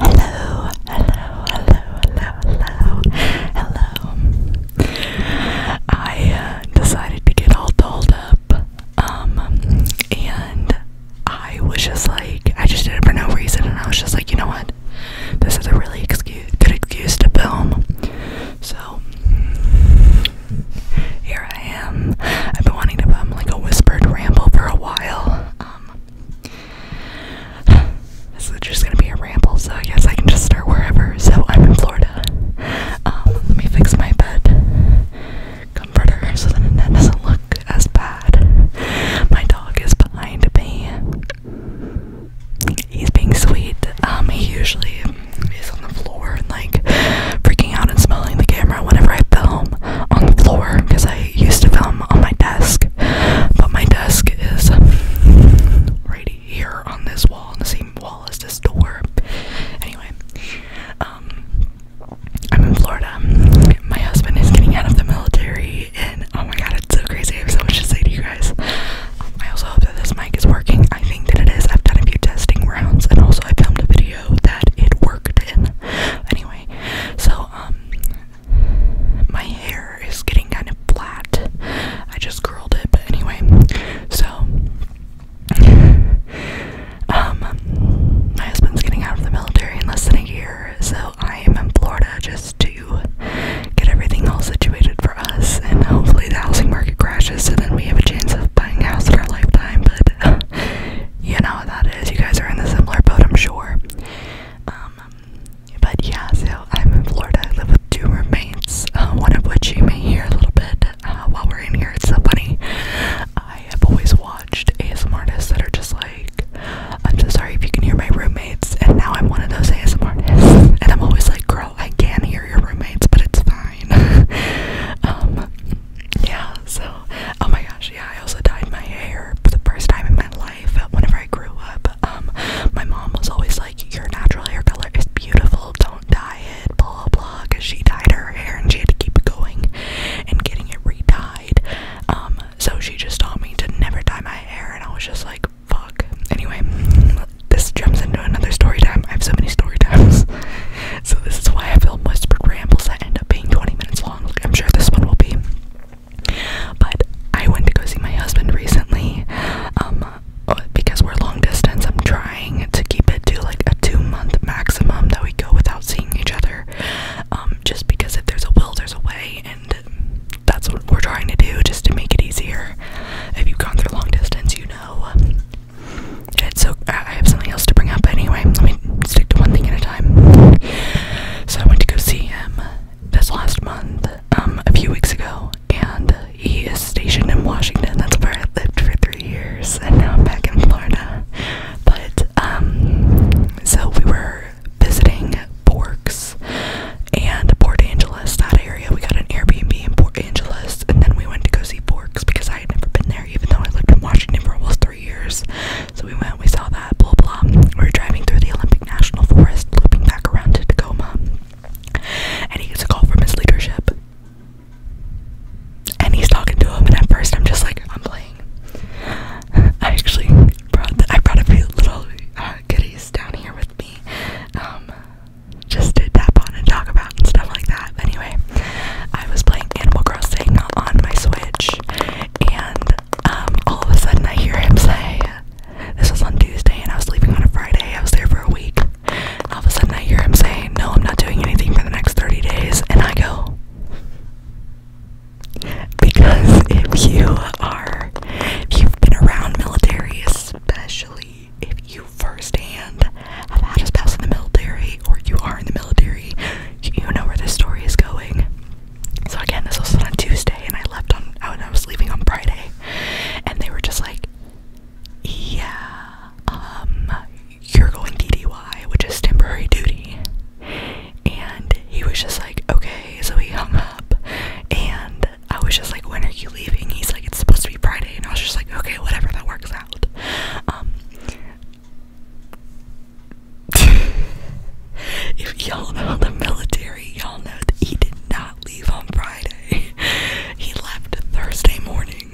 Hello, hello, hello, hello, hello, hello. I decided to get all dolled up, um, and I was just like, I just did it for no reason, and I was just like, you know what? This is a really excuse, good excuse to film. So, here I am. I've been wanting to film like a whispered ramble for a while. Um, this is just gonna be a ramble, so I guess I can just start wherever. So I'm in Florida. Um, let me fix my bed comforter so that it doesn't look as bad. My dog is behind me. He's being sweet. Um, he usually is on the floor and like freaking out and smelling the camera whenever I film on the floor because I I used to film on my desk, but my desk is right here on this wall, on the same wall as this door. Anyway, um, I'm in Florida. My husband is getting out of the military, and oh my god, it's so crazy. I have so much to say to you guys. I also hope that this mic is working. I think that it is. I've done a few testing rounds, and also I filmed a video that it worked in. Anyway, so um, my hair is getting kind of flat. I just curled it, but anyway, so, um, my husband's getting out of the military in less than a year, so I am in Florida just to get everything all situated for us, and hopefully the housing market crashes, so then we have a chance of buying a house in our lifetime, but, you know what that is, you guys are in the similar boat, I'm sure. Um, but yeah, so I'm in Florida. I live with two roommates, uh, one of which you may hear a little bit uh, while we're in here. It's so funny. I have always watched ASMR artists that are just like, I'm so sorry if you can hear my roommates, and now I'm one of those ASMR artists. And I'm always like, girl, I can not hear your roommates, but it's fine. Um, yeah, so, oh my gosh yeah, I also dyed my hair for the first time in my life whenever I grew up. Um, my mom was always like, Your natural hair color is beautiful, don't dye it, blah blah, because she dyed her hair and she had to keep going and getting it retied. Um, so she just taught me to never dye my hair, and I was just like, Fuck. Anyway, this jumps into another story time. I have so many story times. so this is why I film whispered rambles that end up being 20 minutes long. I'm sure this one will be. But I went to go see my husband recently um, uh, because we're long distance. I'm trying to keep it to like a two month maximum that we go without seeing each other. Um, just because if there's a will, there's a way, and that's what we're trying to do just to make it easier. If you've gone through long distance, you know. so I have something else to bring up, anyway, let me stick to one thing at a time. So I went to go see him this last month, um, a few weeks ago, and he is stationed in Washington. That's where I lived for three years, and now I'm back in Florida. But um, so we were visiting Borks and Port Angeles, that area. We got an Airbnb in Port Angeles, and then we went to go see Borks because I had never been there, even though I lived in Washington for almost years. So we went, we saw that, blah blah. We were driving through the Olympic National Forest, looping back around to Tacoma. And he gets a call from his leadership. And he's talking to him, and at first I'm just like, I'm playing. I actually brought I brought a few little uh, goodies down here with me, um, just to tap on and talk about and stuff like that. Anyway, I was playing Animal Crossing on my Switch, and um, all of a sudden I hear him say, this was on Tuesday and I was leaving on a Friday, I was there for a week. All of a sudden I hear him say, no, I'm not doing anything for the next 30 days, and I go, because if you are, if you've been around military, especially if you firsthand have had a spouse in the military or you are in the military, you know where this story is going. So again, this was on Tuesday, and I left on. I was leaving on Friday, and they were just like, "Yeah, um, you're going DDY, which is temporary duty." And he was just like, "Okay," so he hung up, and I was just like, "When are you leaving?" He's like, "It's supposed to be Friday," and I was just like, "Okay, whatever, that works out." Um, if y'all know the military, y'all know that he did not leave on Friday. he left Thursday morning.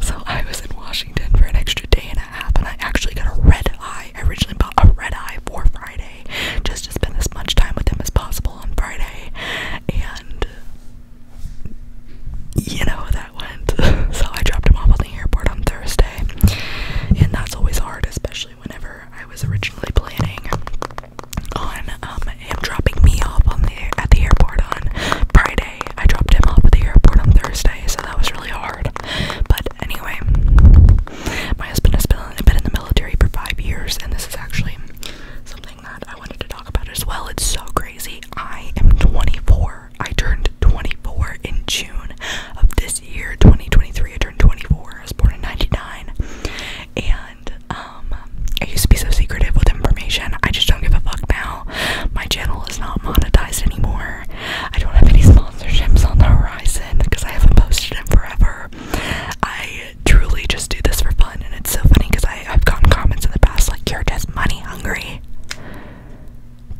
so I was in Washington for an extra day and a half, and I actually got a red eye. I originally bought a red eye for Friday just to spend as much time with him as possible on Friday. And you know how that went. so I dropped him off at the airport on Thursday. And that's always hard, especially whenever I was originally planning on um, him dropping me off on the at the airport on Friday. I dropped him off at the airport on Thursday, so that was really hard. But anyway, my husband has been, been in the military for five years, and this is actually something that I wanted to talk about as well. It's so crazy. I am 24. I turned 24 in June of this this year, 2023, I turned 24. I was born in 99. And um, I used to be so secretive with information. I just don't give a fuck now. My channel is not monetized anymore. I don't have any sponsorships on the horizon because I haven't posted in forever. I truly just do this for fun. And it's so funny because I've gotten comments in the past like, you're just money hungry.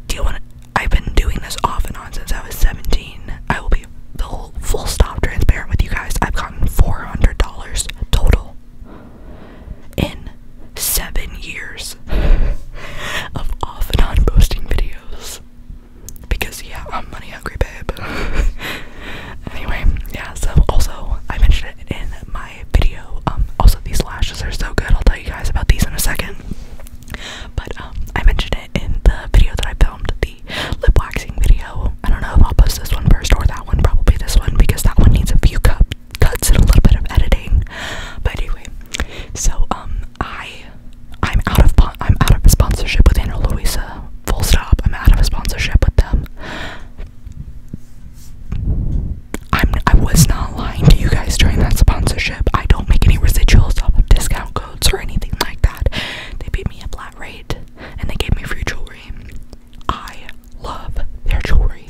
Do you want I've been doing this off and on since I was 17. I will be full, full stop transparent with you guys. I've gotten $400 total in seven years of off and on posting videos. Because, yeah, I'm money hungry, babe. anyway, yeah, so also, I mentioned it in my video. Um, also, these lashes are so good. I'll tell you guys about these in a second. But um, I mentioned it in the video that I filmed, the lip waxing video. I don't know if I'll post this one first or that one, probably this one because that one needs a few cu cuts and a little bit of editing. But anyway, so um, I I'm out of I'm out of a sponsorship with Ana Luisa. Full stop. I'm out of a sponsorship with them. I'm I was not lying to you guys during that sponsorship. I don't make any residuals off of discount or anything like that. They paid me a flat rate and they gave me free jewelry. I love their jewelry.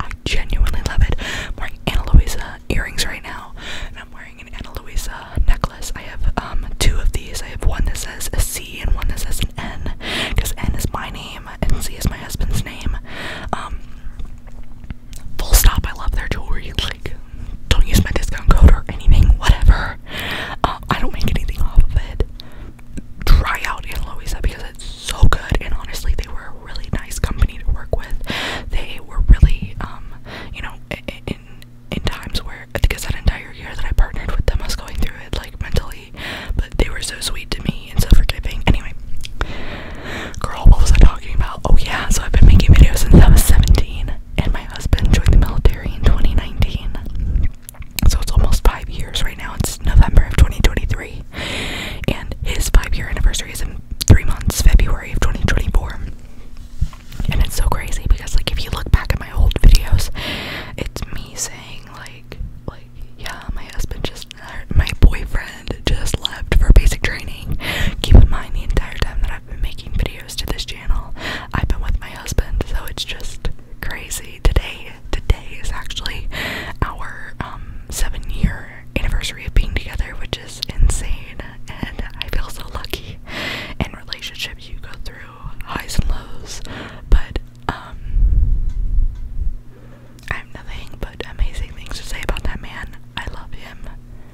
I genuinely love it. I'm wearing Anna Luisa earrings right now, I'm wearing an Anna Luisa necklace. I have um, two of these. I have one that says C and one that says N, because N is my name and C is my husband's name. Um, full stop, I love their jewelry. Like, don't use my discount code or anything, whatever. Um, I don't make anything off of it. Try out Ana Luisa because it's so good, and honestly, they were a really nice company to work with. They were really, um, you know, in in times where I think it's that entire year that I partnered with them, I was going through it like mentally, but they were so sweet to me and so forgiving. Anyway, girl, what was I talking about? Oh yeah, so I've been making videos since I was 17 and my husband joined the military in 2019. So it's almost five years right now. It's November of 2023. And his five year anniversary is in three months, February of 2024. And it's so crazy because, like, if you look back at my old videos, it's me saying, like, like, yeah, my husband just, uh, my boyfriend just left for basic training. Keep in mind the entire time that I've been making videos to this I've been with my husband, so it's just crazy. Today, today is actually our um, seven-year anniversary of being together, which is insane, and I feel so lucky. In relationships, you go through highs and lows, but um, I have nothing but amazing things to say about that man. I love him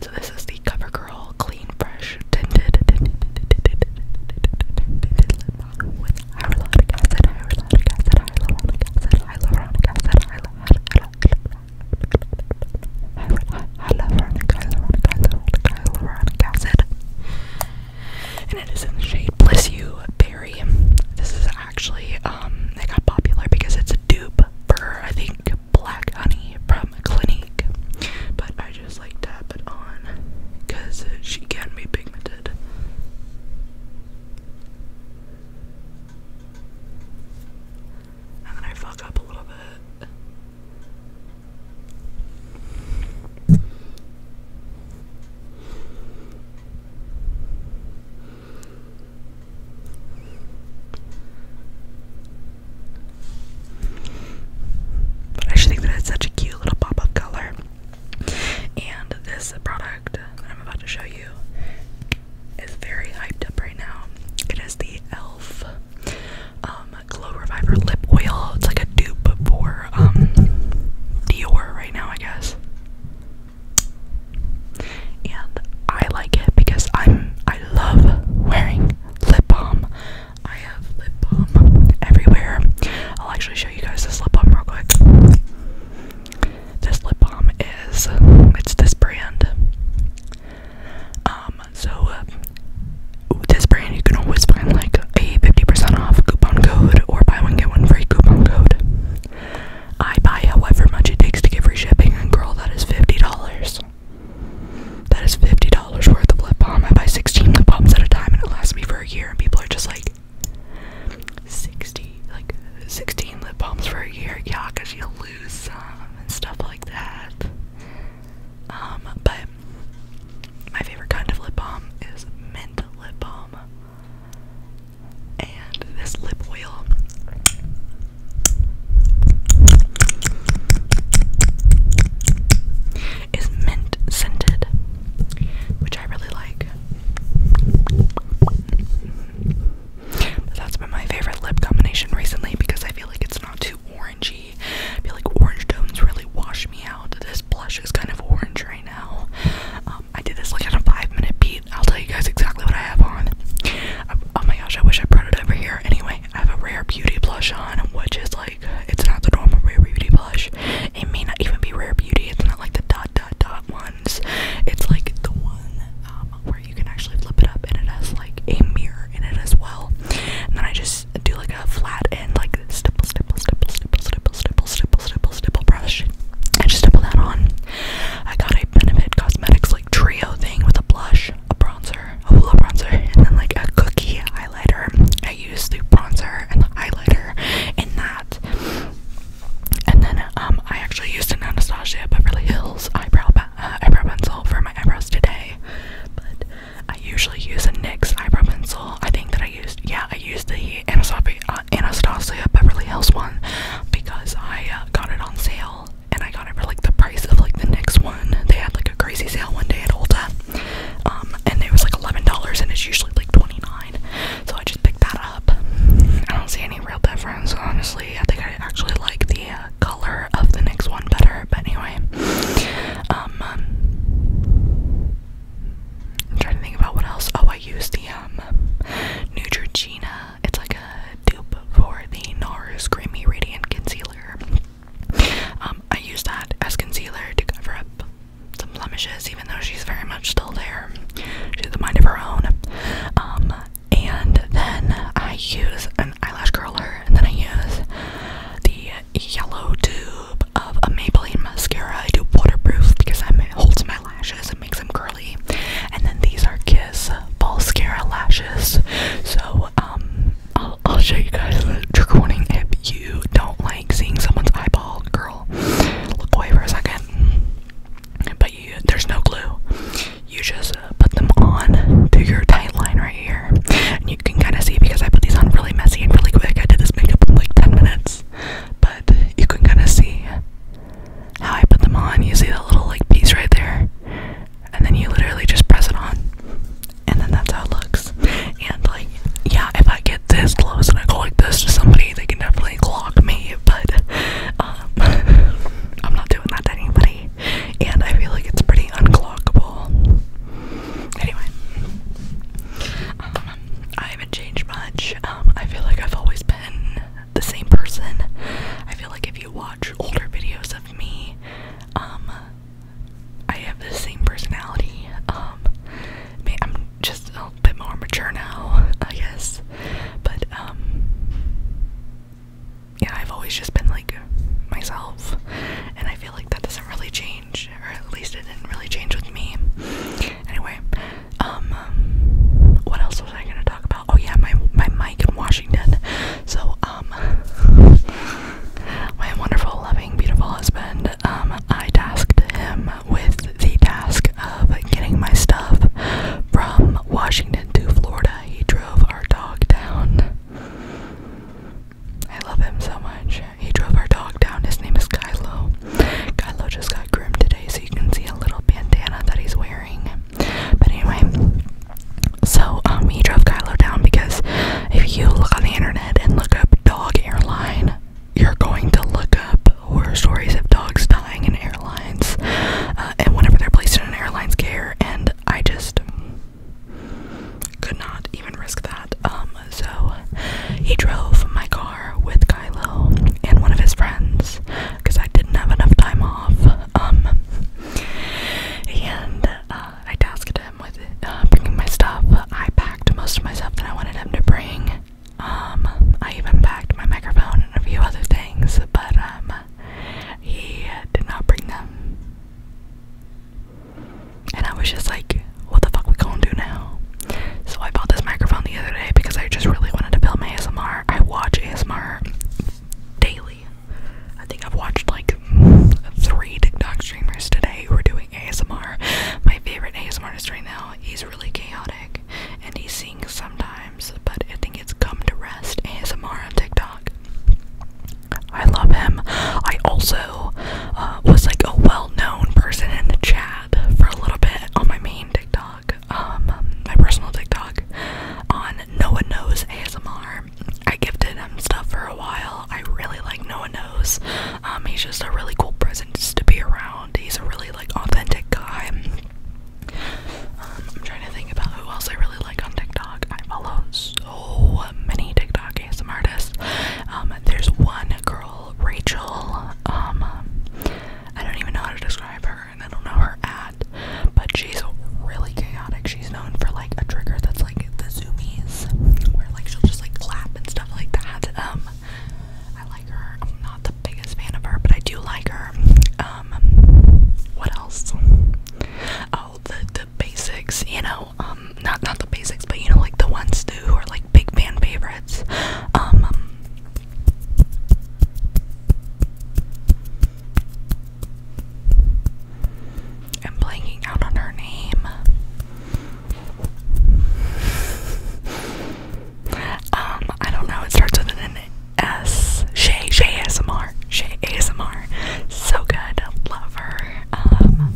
So this is the CoverGirl Clean Fresh Tinted Lip Balm with hyaluronic acid, hyaluronic acid, hyaluronic acid, hyaluronic acid, hyaluronic, hyaluronic, hyaluronic acid. And it is in the shade Bliss You Berry. This is actually um it got popular because it's a dupe for I think black honey from Clinique. But I just like tap it on because she can be pigmented. And then I fuck up a little bit. But I just think that such a cute little pop of color. And this product that I'm about to show you is very hyped up right now. It is the e.l.f. Um, Glow Reviver Lip Oil. It's like a dupe for um, Dior right now, I guess. And I like it because I'm I love wearing lip balm. I have lip balm everywhere. I'll actually show you guys this lip balm real quick. This lip balm is it's this brand. Um, so uh, this brand you can always find like a 50% off coupon code or buy one get one free coupon code. I buy however much it takes to get free shipping, and girl, that is $50. That is $50 worth of lip balm. I buy 16 lip balms at a time, and it lasts me for a year, and people are just like, 60, like 16 lip balms for a year. Yeah, because you lose some and stuff like that. Um, but my favorite kind of lip balm is mint lip balm. And this lip oil is mint scented, which I really like. that's been my favorite lip combination recently because I feel like it's not too orangey. I feel like orange tones really wash me out. This blush is kind of orange right now. Um, I did this like in a five minute piece. I'll tell you guys exactly what I have on. oh my gosh, I wish I brought it over here. Anyway, I have a rare beauty blush on, which is like it's not the normal rare beauty blush. It may not even be rare beauty. It's not like the dot dot dot ones. It's like the one um, where you can actually flip it up and it has like a mirror in it as well. And then I just do like a flat end, like stipple, stipple, stipple, stipple, stipple, stipple, stipple, stipple, stipple brush. I just double that on. I got a Benefit Cosmetics like trio thing with a blush, a bronzer, a hula bronzer, and then like a cookie highlighter. I used the bronzer and the highlighter in that. And then um, I actually used an Anastasia Beverly Hills eyebrow uh, eyebrow pencil for my eyebrows today. But I usually use a NYX eyebrow pencil. I think that I used, yeah, I used the Anastasia, uh, Beverly Hills one because I uh, got it on sale and I got it for like the price of like the next one. They had like a crazy sale one day at Ulta, um, and it was like eleven dollars, and it's usually like twenty nine. dollars So I just picked that up. I don't see any real difference, honestly. I think I actually like the uh, color of the next one better. But anyway, um, um, I'm trying to think about what else. Oh, I used the um, Neutrogena it's like a dupe for the NARS Creamy Radiant Concealer. Um, I use that as concealer to cover up some blemishes, even though she's very much still there. She's a mind of her own. Um, and then I use an eyelash curler, and then I use the yellow tube of a Maybelline mascara. I do waterproof because it holds my lashes and makes them curly. And then these are kids is Falscara lashes. So um, I'll, show you guys the trigger warning if you don't like seeing someone's eyeball. Girl, look away for a second. But you, there's no glue. You just uh, put them on to your tight line right here, and you can kind of see because I put these on really messy and really quick. I did this makeup in like 10 minutes, but you can kind of see how I put them on. You see that little like piece right there, and then you literally just press it on, and then that's how it looks. And like, yeah, if I get this close and I go like this to somebody, they can definitely clock me. But um, I'm not doing that to anybody, and I feel like it's pretty unclockable. Anyway, um, I haven't changed much. Um, I feel like I've always been the same person. I feel like if you watch older videos of me. Um, I have the same personality. Um, I'm just a bit more mature now, I guess. But um, yeah, I've always just been like myself, and I feel like that doesn't really change, or at least it didn't really change with me. Anyway, um, what else was I gonna talk about? Oh yeah, my my mic in Washington. So um, my wonderful, loving, beautiful husband. Um, I tasked him with the task of getting my stuff from Washington to Florida. He drove our dog down. I love him so much. He drove our dog down. His name is Kylo. Kylo just got groomed today, so you can see a little bandana that he's wearing. But anyway, so um, he drove Kylo down because if you look on the internet and look up dog airline, you're going to look up horror stories of dogs dying in airlines uh, and whenever they're placed in an airline's care. And I just could not even risk that. Um, so he drove my car with Kylo and one of his friends because I didn't have enough time off. Um, and uh, I tasked him with uh, bringing my stuff. I packed most of my stuff that I wanted him to bring. Um, I even packed my microphone and a few other things, but um, he did not bring them. And I was just like, what the fuck we gonna do now? So I bought this microphone the other day because I just really wanted to film ASMR. I watch ASMR daily. I think I've watched like three TikTok streamers today who are doing ASMR. My favorite ASMRist right now, he's really chaotic and he sings sometimes, but I think it's Come to Rest ASMR on TikTok. I love him. I also uh, was like a well known person in the chat for a little bit on my main TikTok, um, my personal TikTok, on No One Knows ASMR. I gifted him stuff for a while. I really like No One Knows. Um, he's just a really cool presence to be around. He's a really like authentic guy. Um, I'm trying to think about who else I really like on TikTok. I follow so many TikTok ASM artists. Um, there's one girl, Rachel. Um, I don't even know how to describe her, and I don't know her app but she's really chaotic. She's known for like a trigger that's like the zoomies, where like she'll just like clap and stuff like that. Um, I like her. I'm not the biggest fan of her, but I do like her. Um, what else? Oh, the the basics. You know, um, not not the basics, but you know, like the ones too, who are like big fan favorites. I'm blanking out on her name. Um, I don't know. It starts with an S. Shay, Shay ASMR. Shay ASMR. So good. Love her. Um,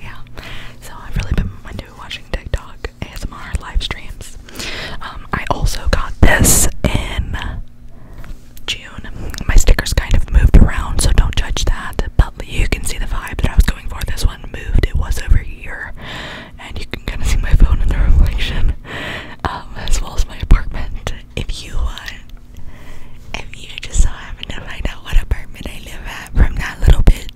yeah. So I've really been into watching TikTok ASMR live streams. Um, I also got this in June. My stickers kind of moved around, so don't judge that. But you can see the vibe that I was going for. This one moved, it was over here. And you can kind of see my phone in the reflection, um, as well as my apartment. If you want, uh, if you just so happen to find out what apartment I live at from that little bit,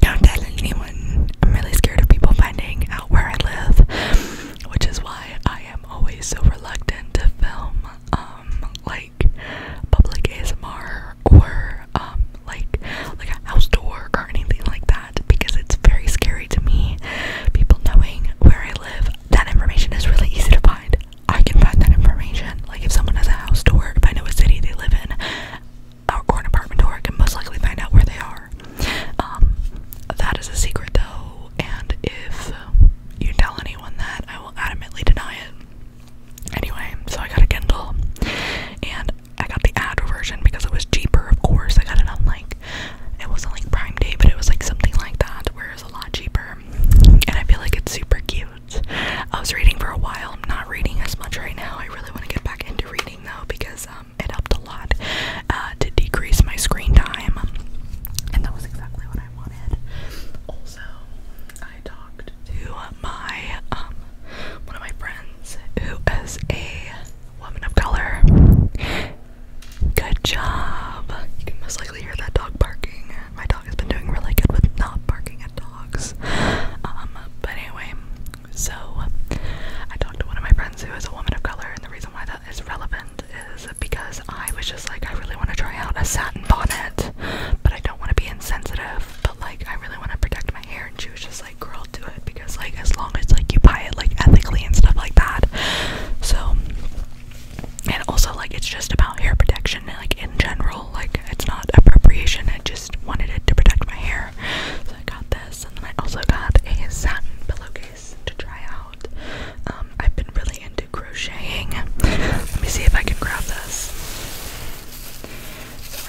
don't tell anyone. I'm really scared of people finding out where I live, which is why I am i am always so reluctant to film um like public ASMR or um like like a house door or anything like that because it's very scary to me. People knowing where I live, that information is really easy to find. I can find that information. Like if someone has a house door, if I know a city they live in uh, or an apartment door, can most likely find out where they are. Um that is a secret though, and if you tell anyone that, I will adamantly deny it. Anyway, so I got a Kindle and I got the ad version because it was cheaper, of course. I got it on like, it wasn't like Prime Day, but it was like something like that where it was a lot cheaper. And I feel like it's super cute. I was reading for a while. I'm not reading as much right now. I really want to get back into reading though because um, it helped a lot uh, to decrease my screen time. And that was exactly what I. Also, I talked to my um, one of my friends who is a woman of color. Good job. You can most likely hear that dog barking. My dog has been doing really good with not barking at dogs. Um, but anyway, so I talked to one of my friends who is a woman of color, and the reason why that is relevant is because I was just like, I really want to try out a satin bonnet, but I don't want to be insensitive, but like, I really want to protect my hair. And she was just like, girl, do it because, like, as long as like you buy it, like, ethically and stuff like that. So, and also, like, it's just about hair protection, like, in general, like, it's not appropriation. I just wanted it to protect my hair. So, I got this, and then I also got a satin pillowcase to try out. Um, I've been really into crocheting. Let me see if I can grab this.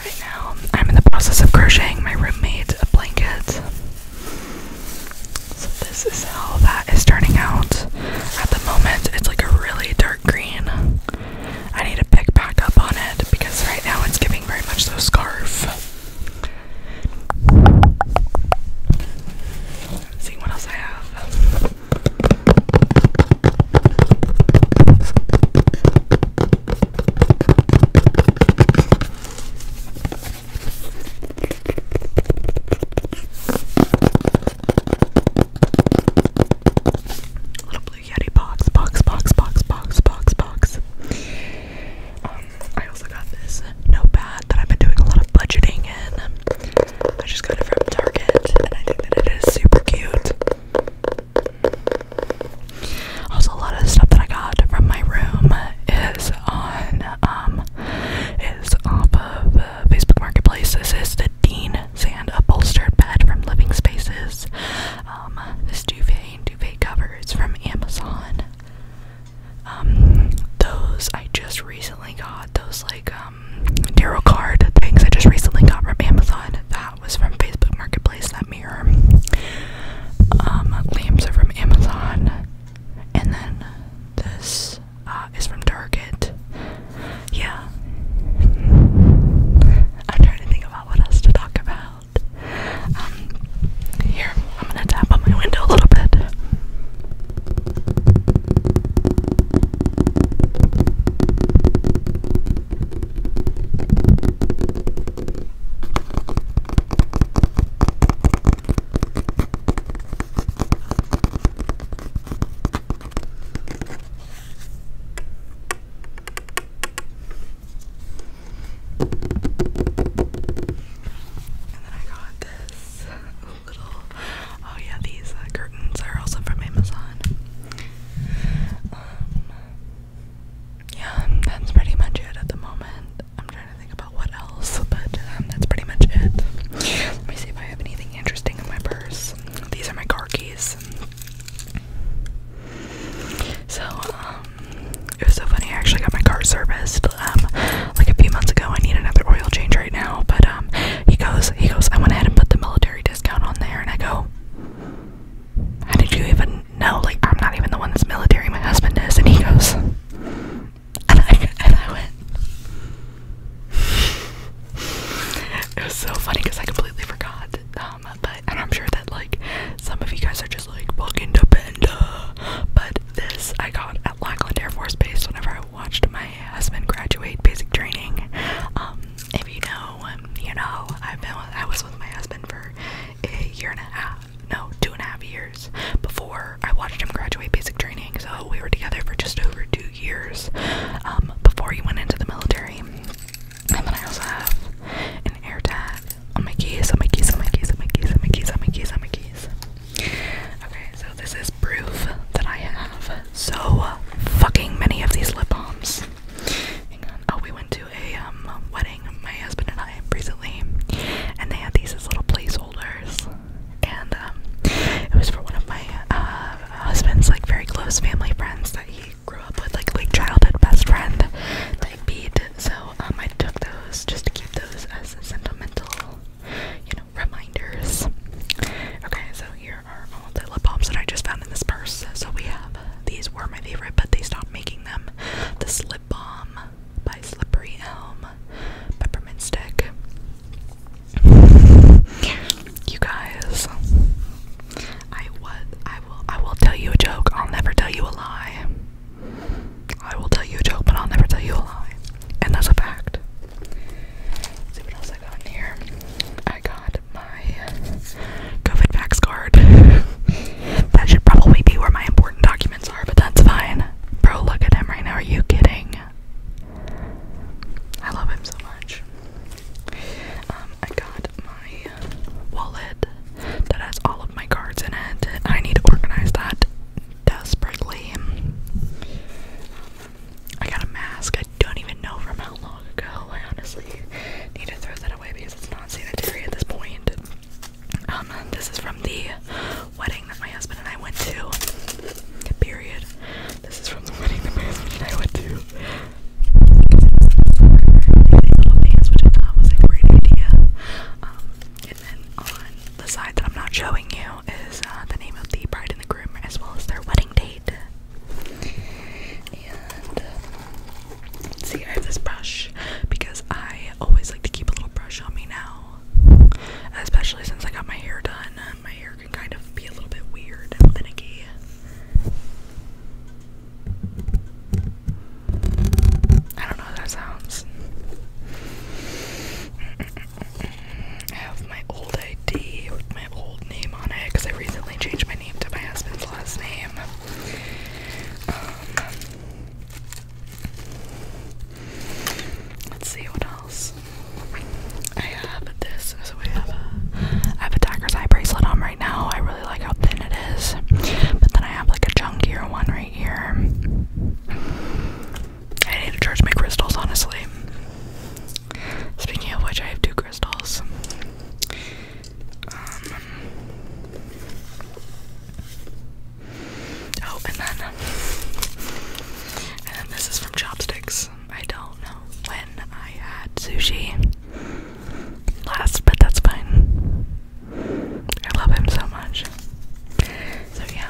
right now, I'm in the process of crocheting my roommate a blanket. So this is how that is turning out. At the moment, it's like a really dark green. I need to pick back up on it because right now it's giving very much so scarf see what else I have. Little blue Yeti box, box, box, box, box, box, box. Um, I also got this notepad that I've been doing a lot of budgeting in. I just got it from Target and I think that it is super cute. Also, a lot of stuff that I got from my room is on, um, is off of uh, Facebook Marketplace. This is the Dean Sand Upholstered Bed from Living Spaces. Um, this duvet duvet cover from Amazon. Um, those I just recently got, those like um, tarot card things I just recently got from Amazon. That was from Facebook Marketplace, that mirror. Um, lamps are from Amazon. And then this uh, is from Target. Yeah. I'm trying to think about what else to talk about. Um, here, I'm gonna tap on my window a little bit. And then I got this. Oh yeah, these uh, curtains are also from Amazon. Um, yeah, that's pretty much it at the moment. I'm trying to think about what else, but um, that's pretty much it. Let me see if I have anything interesting in my purse. These are my car keys. So, um, it was so funny. I actually got my car serviced like a few months ago. I need another oil change right now, but um, he goes, he goes. I went ahead and put the military discount on there, and I go, how did you even know? Like, I'm not even the one that's military. My husband is, and he goes, and I, and I went. It was so funny because I completely forgot. Um, but and I'm sure that like some of you guys are just like fucking dependa. But this I got at Lackland Air Force Base whenever I watched my husband graduate basic training. Um, if you know, um, you know, I've been with, I was with my husband for a year and a half, no, two and a half years before I watched him graduate basic training. So we were together for just over two years um, before he went into the military. And then I also have an AirTag on on my keys, on my keys, on my keys, on my keys, on my keys, on my keys. On my keys. Okay, so this is proof that I have so fucking many of these lip balms. Oh, we went to a um, wedding, my husband and I, recently, and they had these as little placeholders. And um, it was for one of my uh, husband's like very close family friends that he grew up with, like childhood best friend like beat. So um, I took those just to keep those as sentimental you know, reminders. Okay, so here are all the lip balms that I just found in this purse. So we have these were my favorite, but they stopped making them. The slip balm by Slippery Elm, peppermint stick. You guys, I what I will I will tell you a joke. I'll never tell you a lie. I will tell you a joke, but I'll never tell you a lie. And that's a fact see what else I got in here. I got my COVID vax card. that should probably be where my important documents are, but that's fine. Bro, look at him right now. Are you kidding? I love him so much. Um, I got my wallet that has all of my cards in it. I need to organize that desperately. I got a mask I don't even know from how long ago. I honestly need to throw that away because it's not sanitary at this point. Um, this is from the wedding that my husband and I went to. Period. This is from the wedding that my husband and I went to. Pants, which I thought was a great idea. and then on the side that I'm not showing you is uh, the name of the bride the groom, as well as their wedding date. Uh, see, I have this brush because I always like to keep a little brush on me now, especially since I got my hair done. My hair can kind of be a little bit weird and finicky. I don't know how that sounds. I have my old ID with my old name on it because I recently changed my name to my husband's last name. Um, let's see what else. I have this. So have a, I have a Dacker's eye bracelet on right now. I really like how thin it is. But then I have like a chunkier one right here. I need to charge my crystals, honestly. Speaking of which, I have two crystals. Um, oh, and then, and this is from Chopsticks. I don't know when I had sushi last, but that's fine. I love him so much. So yeah,